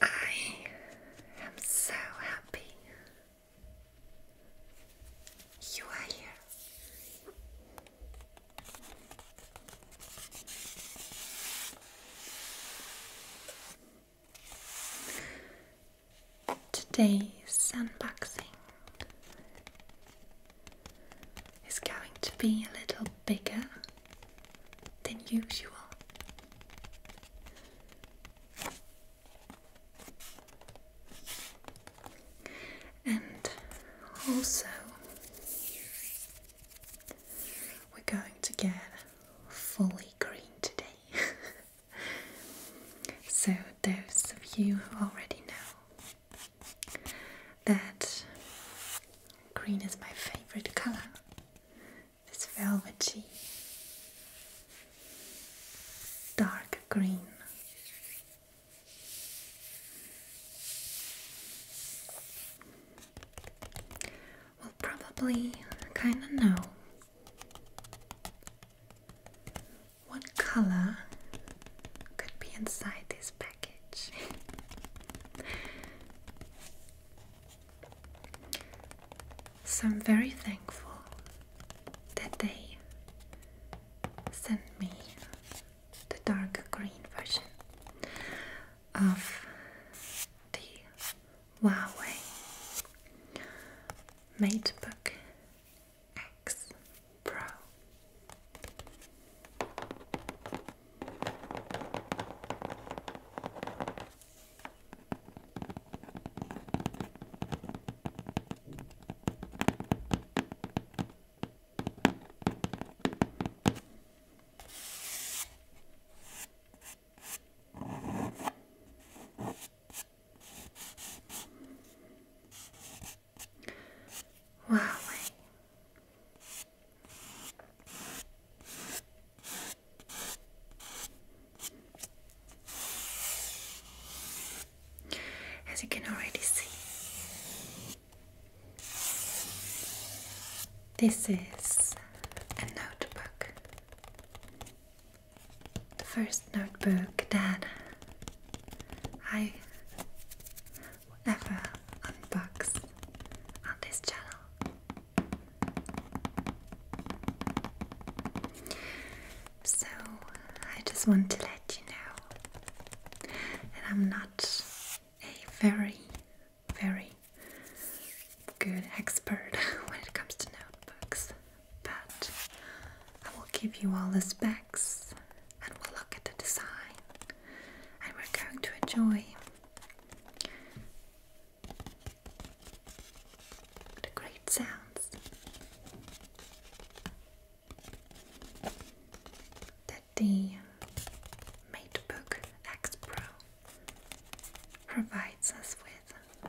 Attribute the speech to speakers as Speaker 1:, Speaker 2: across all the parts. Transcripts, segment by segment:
Speaker 1: I am so happy you are here. Today's unboxing it's going to be a little bigger than usual. And also, we're going to get fully green today. so, those of you who already know that green is my favorite color. This velvety dark green. Well, probably kind of know what color could be inside this package? so I'm very thankful that they sent me the dark green version of the Huawei Book. X Pro. Huawei. As you can already see, this is a notebook. The first notebook that I will ever unbox on this channel. So I just want to let you know that I'm not a very, very good expert when it comes to notebooks, but I will give you all this back and we'll look at the design and we're going to enjoy the great sounds that the Matebook X Pro provides us with.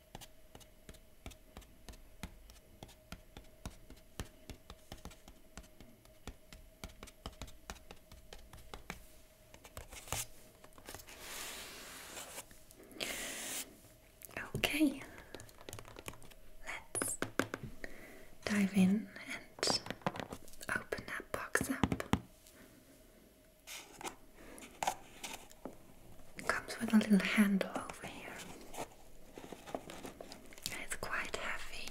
Speaker 1: Okay, let's dive in and open that box up. It comes with a little handle over here. it's quite heavy.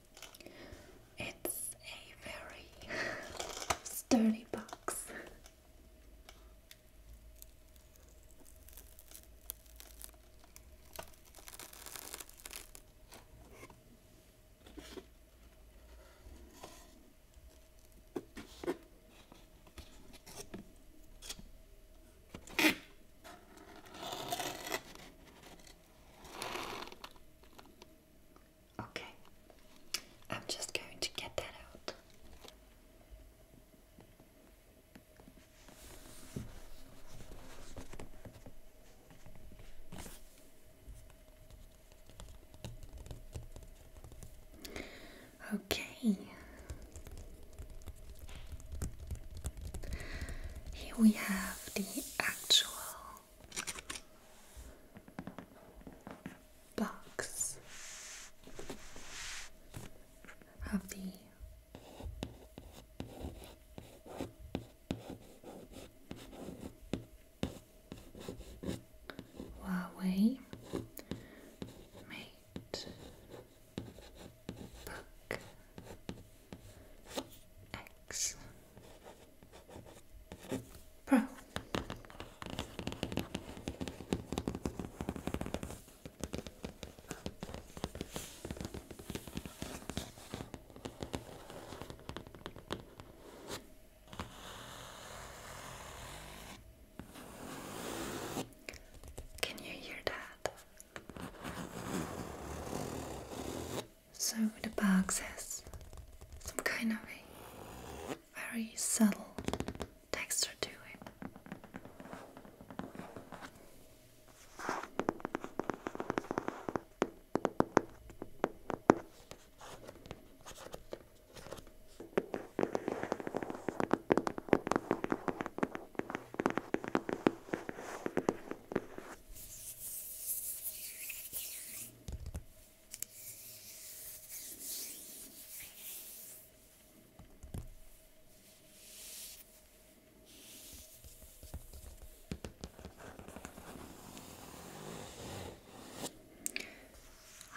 Speaker 1: It's a very sturdy box. Okay, I'm just going to get that out. Okay, here we have the actual box of the Huawei Mate book X Pro. Can you hear that? So the box has some kind of a very subtle texture to it.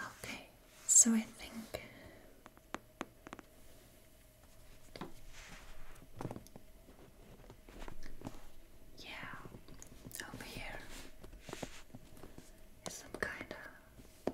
Speaker 1: Okay, so I think yeah, over here is some kind of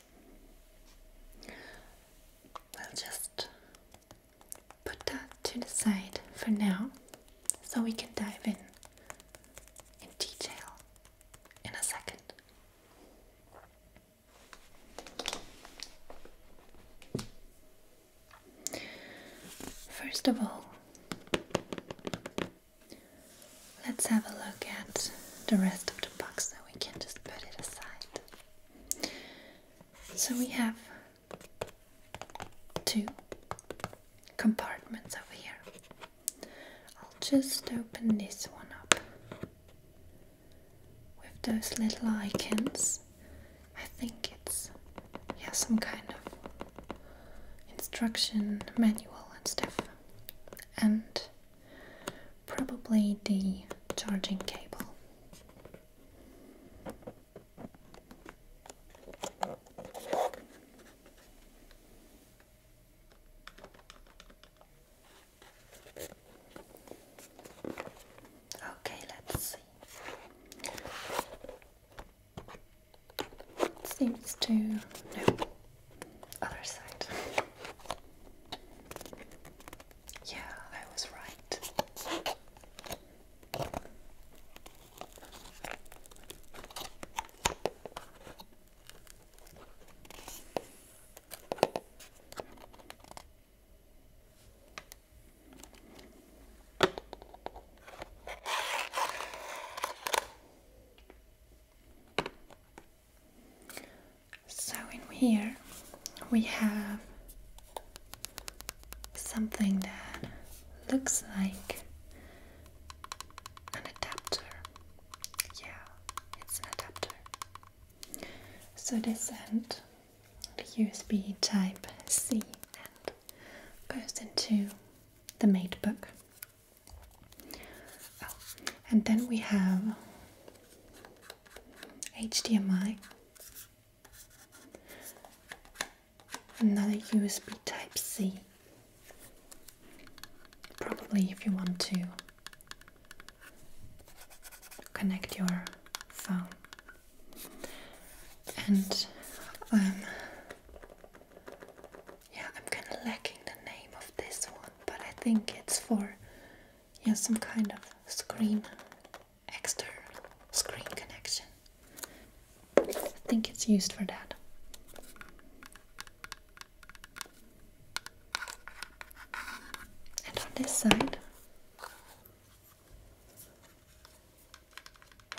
Speaker 1: We'll just put that to the side for now so we can dive in in detail in a second. First of all, let's have a look at the rest of the box so we can just put it aside. So we have two compartments over here. I'll just open this one up with those little icons. I think it's yeah some kind of instruction manual and stuff. And probably the charging cable. Okay, let's see. Seems to no other side. Yeah, I was right. So in here we have something that looks like an adapter. Yeah, it's an adapter. So this end, the USB type C end, goes into the MateBook. Oh, and then we have HDMI, another USB Type C, probably if you want to connect your phone, and um, yeah, I'm kind of lacking the name of this one, but I think it's for Yes, some kind of screen, external screen connection. I think it's used for that. And on this side,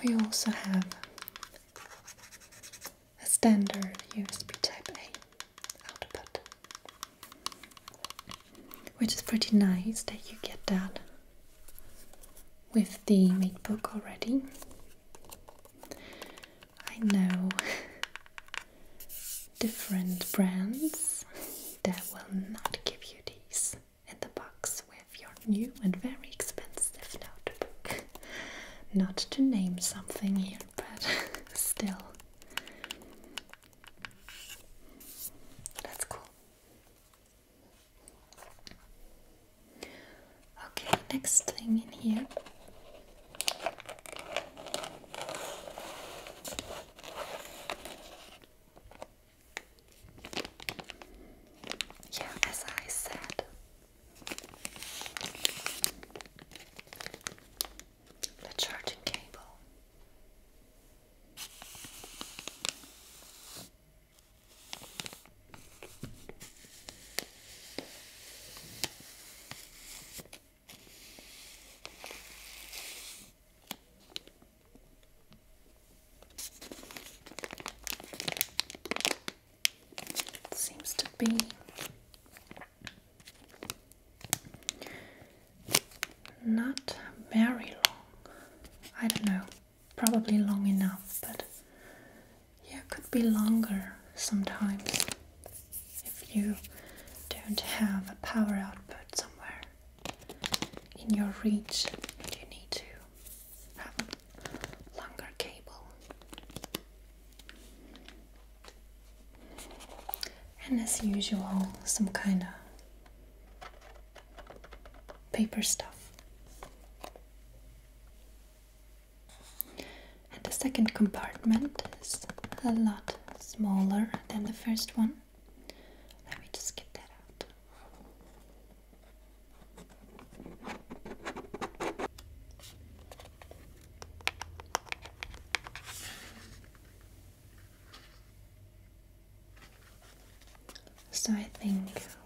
Speaker 1: we also have a standard USB Type A which is pretty nice that you get that with the MateBook already. I know different brands that will not give you these in the box with your new and very expensive notebook. Not to name something here, but still, that's cool. Okay, next thing in here. Yeah, as I said, the charging cable. seems to be not very long. I don't know. Probably long enough, but yeah, could be longer sometimes if you don't have a power output somewhere in your reach. You need to have a longer cable. And as usual, some kind of paper stuff. And the second compartment is a lot smaller than the first one. Let me just get that out. So I think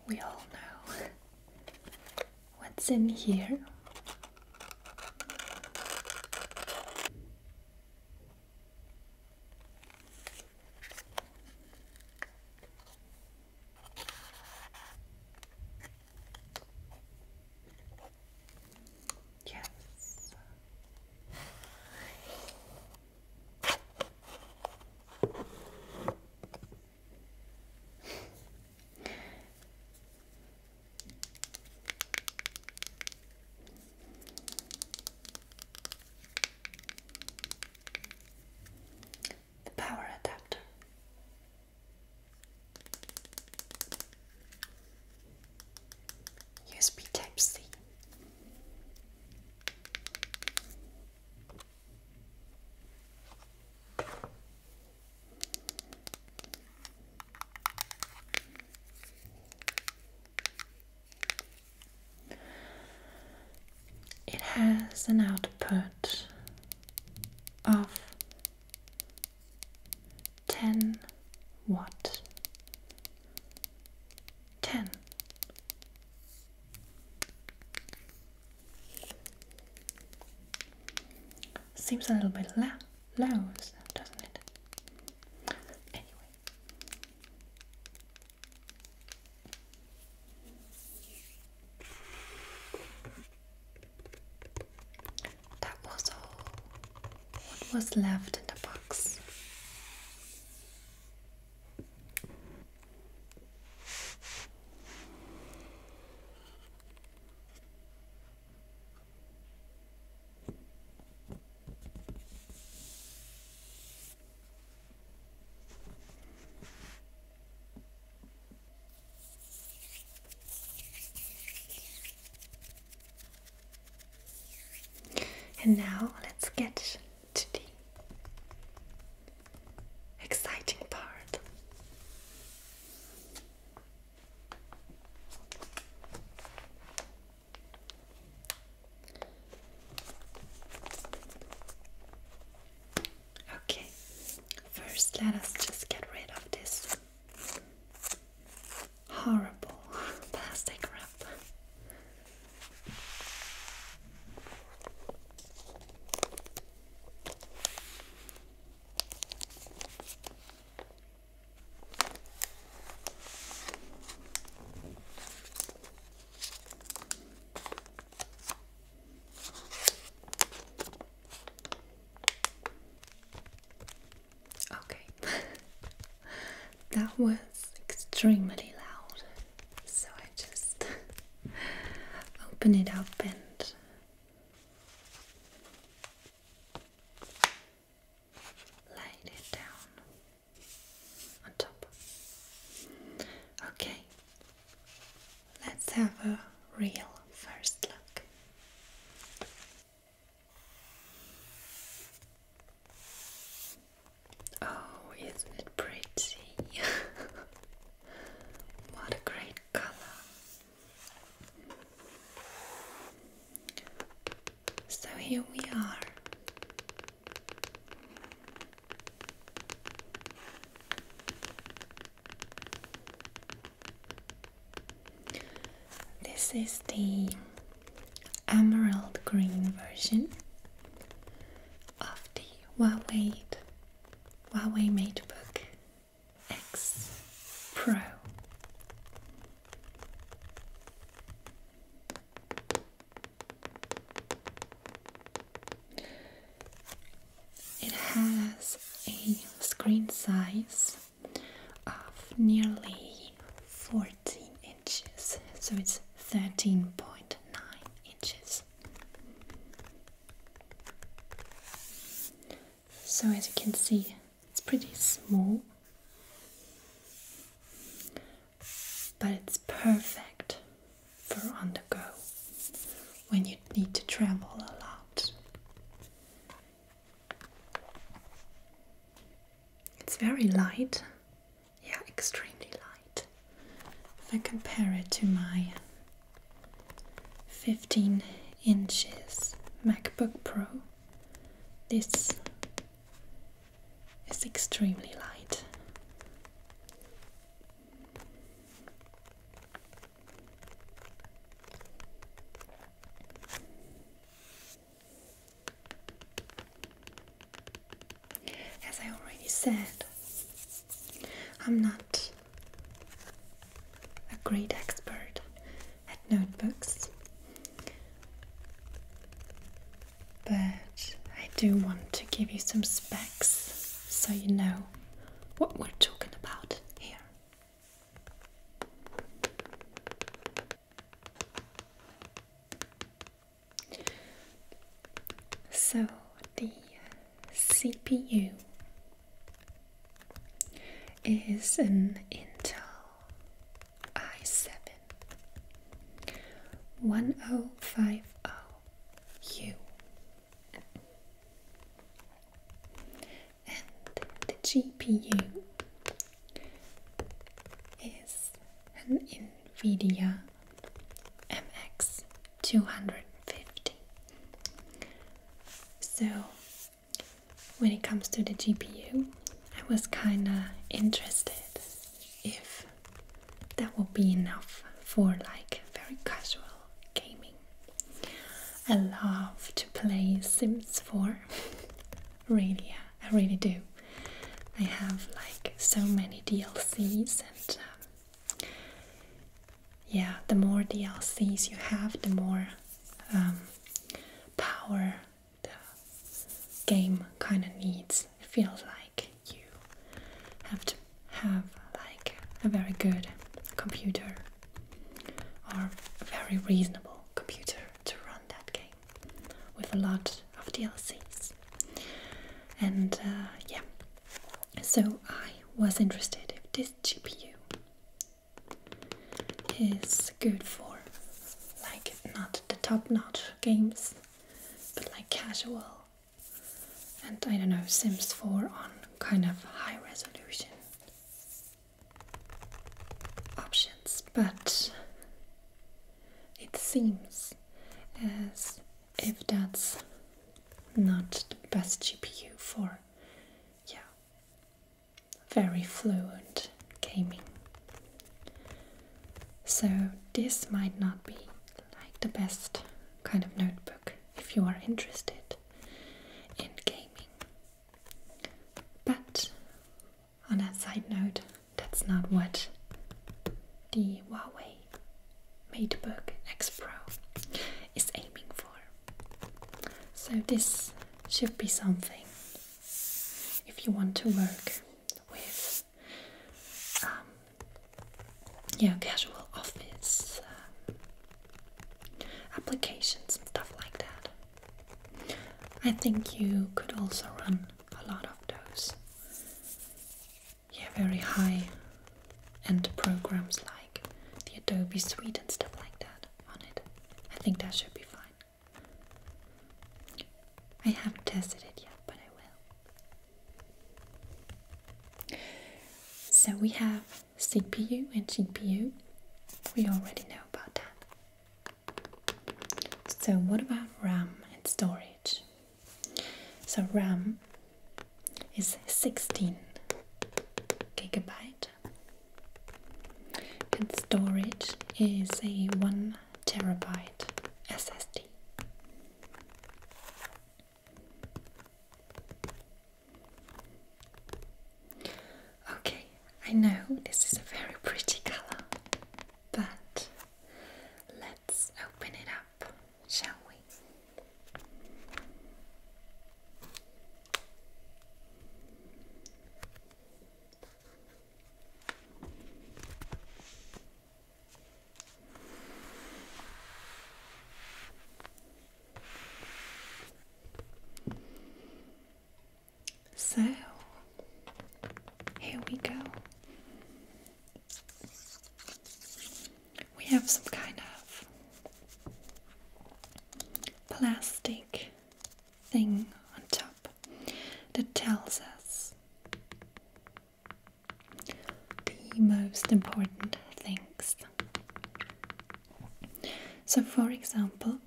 Speaker 1: we all know what's in here. Yes. The power adapter. USB Type C. It has an output of 10 what 10 seems a little bit low, doesn't it anyway that was all what was left in the box. And now let's get to the exciting part. Okay, first let us just get rid of this horrible plastic wrap. Okay, that was extremely loud, so I just open it up and laid it down on top. Okay, let's have a real first look. Oh, isn't it pretty? what a great color! So here we are. This is the emerald green version of the Huawei, Huawei MateBook X Pro. It has a screen size of nearly 14 inches, so it's 13.9 inches. So, as you can see, it's pretty small, but it's perfect for on the go when you need to travel a lot. It's very light, yeah, extremely light. If I compare it to my 15 inches MacBook Pro, this is extremely light. As I already said, I'm not a great expert at notebooks, but I do want to give you some specs so you know what we're talking about here. So the CPU is an Intel i7 1050 and the GPU is an NVIDIA MX 250. So, when it comes to the GPU, I was kind of interested if that would be enough for like very casual gaming. I love to play Sims 4. really, I really do. I have like so many DLCs, and um, yeah, the more DLCs you have, the more um, power the game kind of needs. It feels like you have to have like a very good computer or a very reasonable computer to run that game with a lot of DLCs. And uh, yeah, so I was interested if this GPU is good for like not the top notch games but like casual and I don't know Sims 4 on kind of high resolution options, but it seems as if that's not the best GPU for yeah very fluent gaming. So this might not be like the best kind of notebook if you are interested in gaming. But on that side note, that's not what the Huawei MateBook X Pro is aiming for. So, this should be something if you want to work with um, yeah, casual office um, applications and stuff like that. I think you could also run a lot of those. Yeah, very high end programs like the Adobe Suite and stuff like that on it. I think that should be fine. I haven't tested it yet, but I will. So we have CPU and GPU. We already know about that. So, what about RAM and storage? So, RAM is 16 gigabyte, and storage is a 1 terabyte SSD. Okay, I know this is a very pretty color, but let's open it up, shall we? So here we go. We have some kind of plastic thing on top that tells us the most important thing so, for example,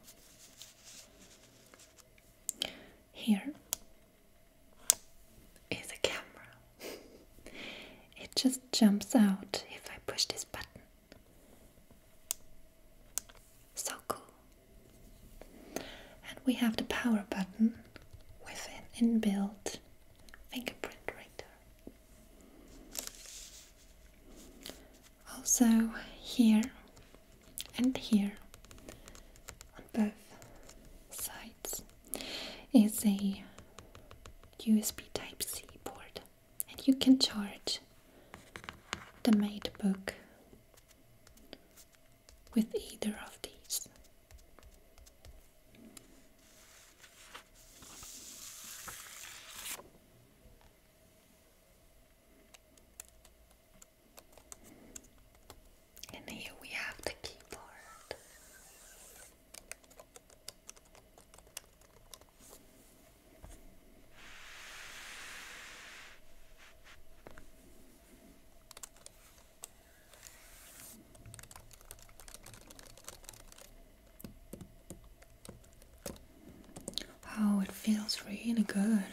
Speaker 1: here is a camera. it just jumps out if I push this button. So cool. And we have the power button with an inbuilt fingerprint reader. Also here and here on both sides is a USB Type-C port and you can charge the MateBook with either of these. And here we have the keyboard. Oh, it feels really good.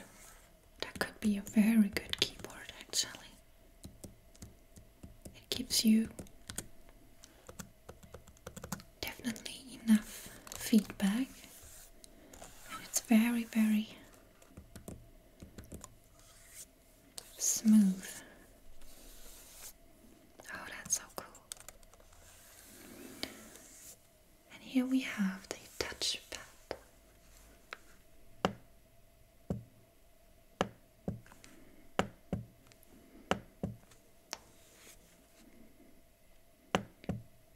Speaker 1: That could be a very good keyboard, actually. It gives you definitely enough feedback, it's very, very smooth. Oh, that's so cool. And here we have the touch pad.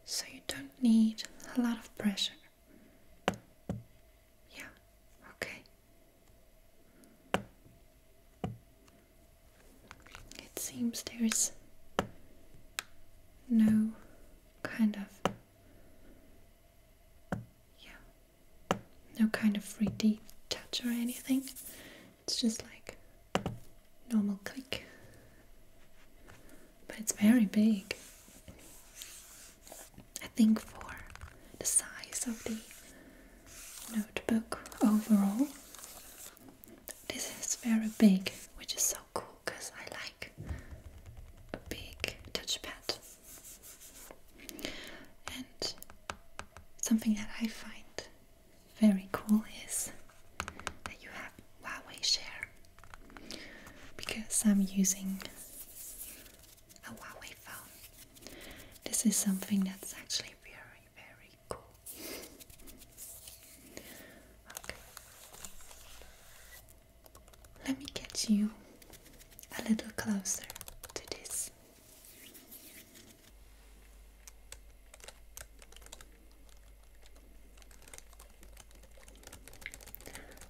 Speaker 1: So you don't need a lot of pressure. Yeah, okay. It seems there is no kind of yeah, no kind of 3D touch or anything. It's just like normal click, but it's very big. I think for the size of the notebook overall. This is very big, which is so cool because I like a big touchpad. And something that I find very cool is that you have Huawei Share because I'm using a Huawei phone. This is something that's actually very, very cool. okay. Let me get you a little closer to this.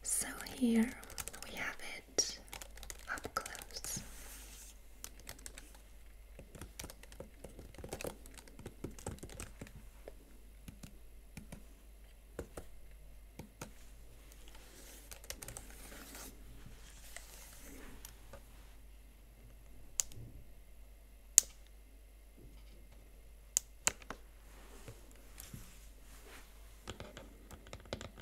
Speaker 1: So, here we have it up close.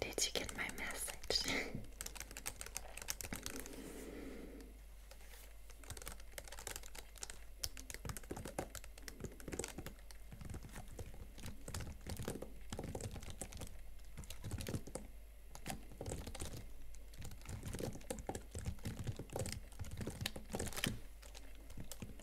Speaker 1: Did you get my message?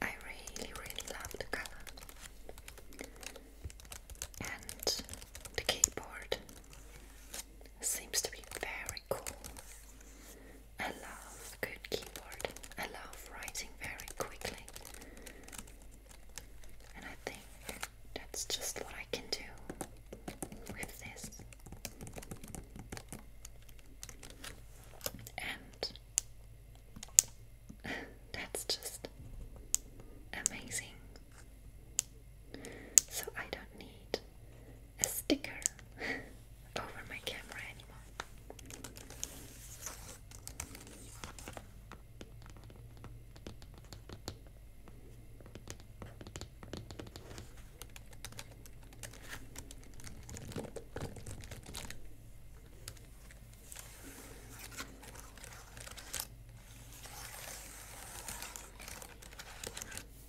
Speaker 1: I really, really love the color and the keyboard Seems to be very cool. I love good keyboard. I love writing very quickly. And I think that's just what I can do with this. And that's just amazing so I don't need a sticker over my camera anymore.